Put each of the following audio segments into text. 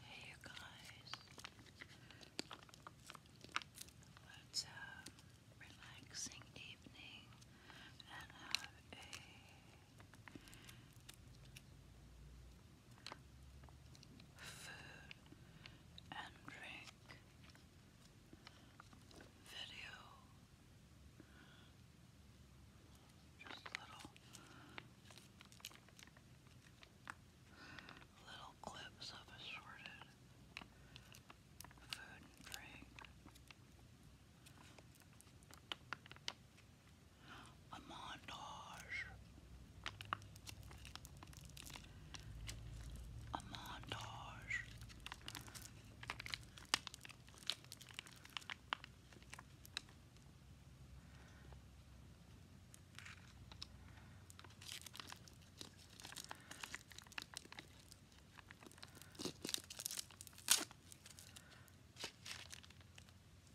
Hey, you guys, let a relaxing evening and have a food and drink video. Just little little clips of assorted food and drink a montage. A montage.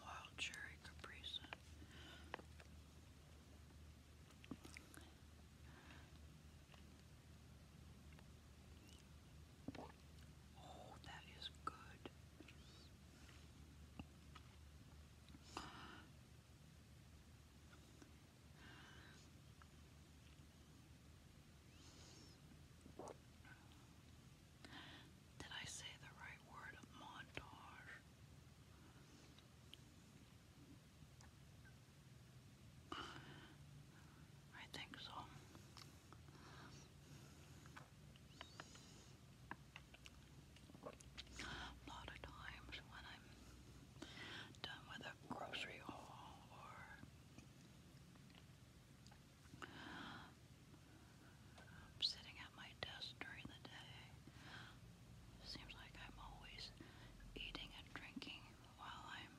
Wild Cherry Capri Oh, that is good. Did I say the right word? Montage. I think so. A lot of times when I'm done with a grocery haul or I'm sitting at my desk during the day. Seems like I'm always eating and drinking while I'm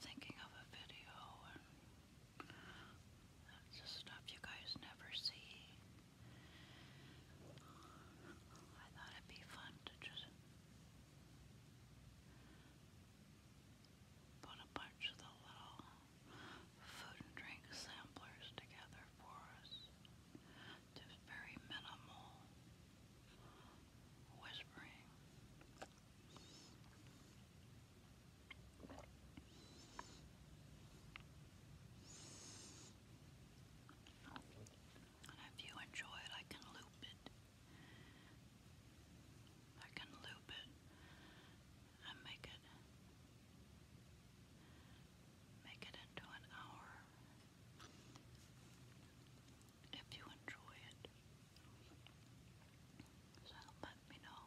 thinking of a video and stuff you guys never see. I thought it'd be fun to just put a bunch of the little food and drink samplers together for us. Just very minimal whispering. if you enjoy it, I can loop it. I can loop it and make it make it into an hour if you enjoy it. So let me know.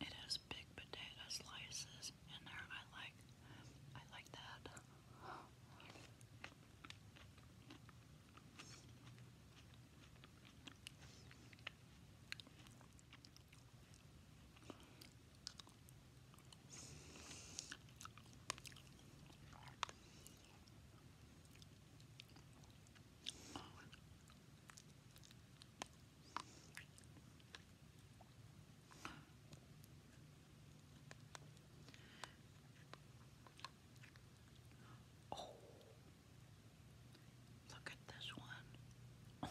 It has big potato slices in there. I like I like that. Oh, look at this one.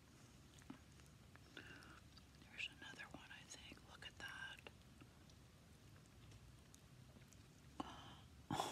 There's another one, I think. Look at that.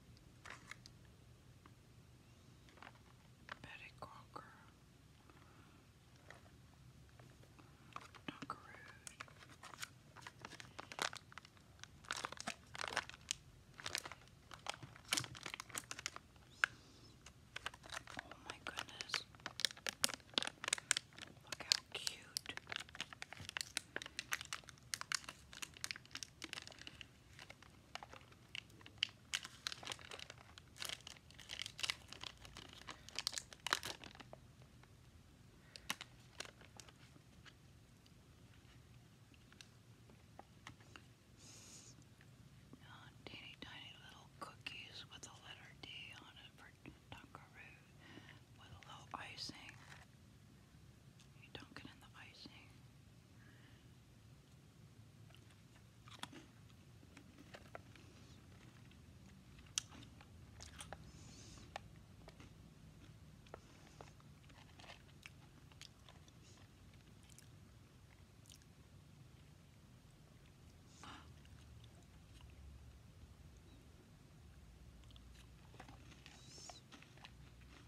Betty Crocker, Dunker Oh my goodness. Look how cute. Uh, teeny tiny little cookies with a letter D on it for Dunkaroo with a little icing. You don't get in the icing.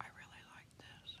I really like this.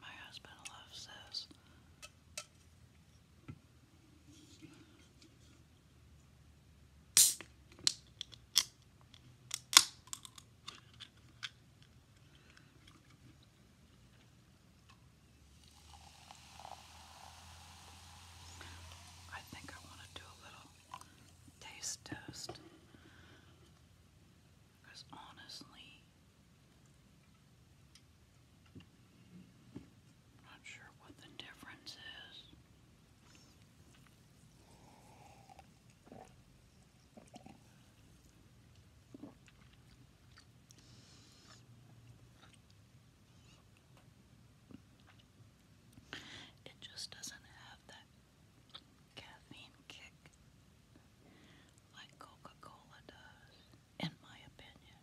My husband loves this. I think I want to do a little taste test because honestly, I'm not sure what the difference is. It just doesn't have that caffeine kick like Coca Cola does, in my opinion.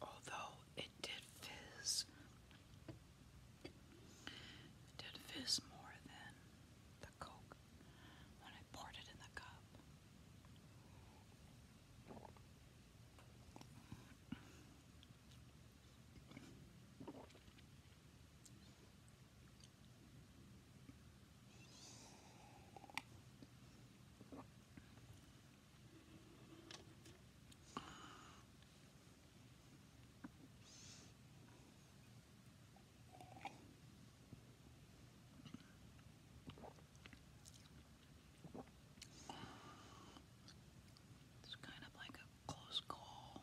Although it did fizz, it did fizz more than the Coke when I poured it in the cup. It's kind of like a close call.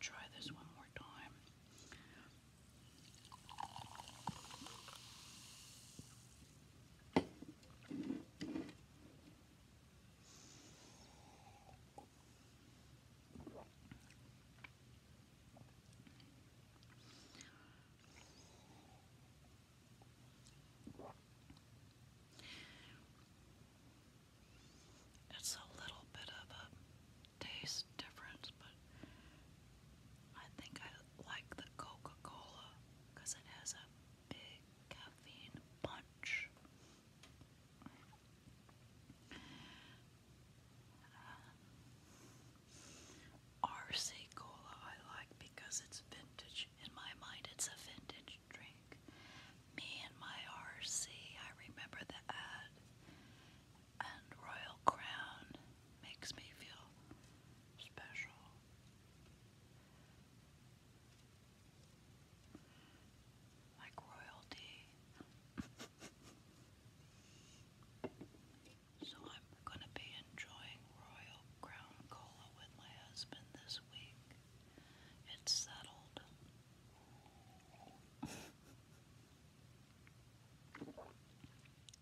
Try this one more time. It's a little bit of a taste difference, but I think I like the Coca Cola because it has a big caffeine punch. Uh, RC Cola I like because it's vintage. In my mind, it's a vintage drink. Me and my RC, I remember the ad. And Royal Crown makes me feel special. Like royalty. so I'm going to be enjoying Royal Crown Cola with my husband this week. It's settled.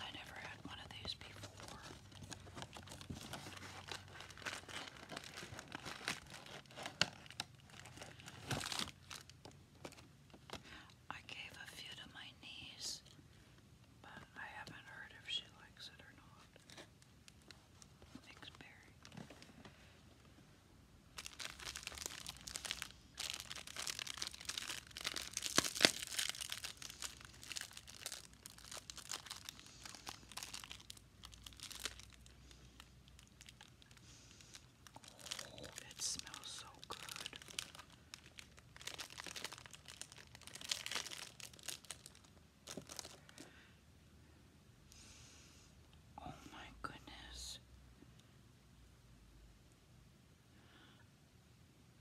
I never had one of these before. I gave a few to my niece, but I haven't heard if she likes it or not. Mixed berry. Oh, it smells so good. Oh, my goodness.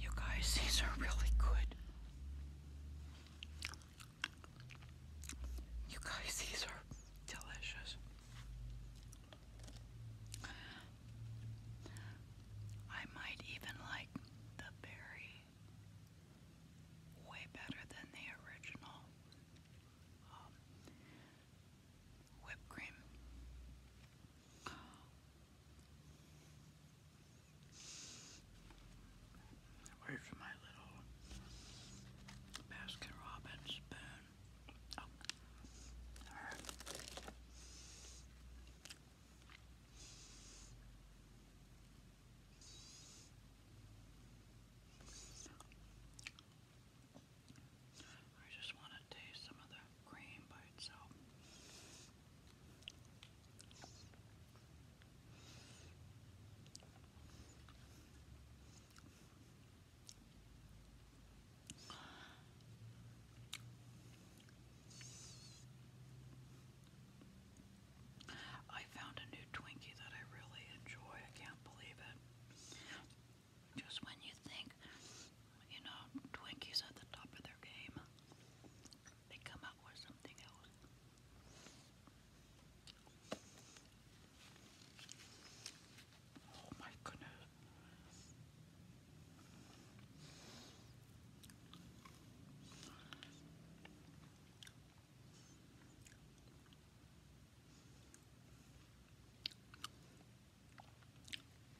You guys, these are really good. You guys, these are delicious. I might even like the berry way better than the original um, whipped cream. Where's my little Baskin Robbins spoon? Oh. I just want to taste some of the cream by itself. I found a new Twinkie that I really enjoy. I can't believe it. Just when you think you know, Twinkie's at the top of their game. They come out with something else. Oh my goodness.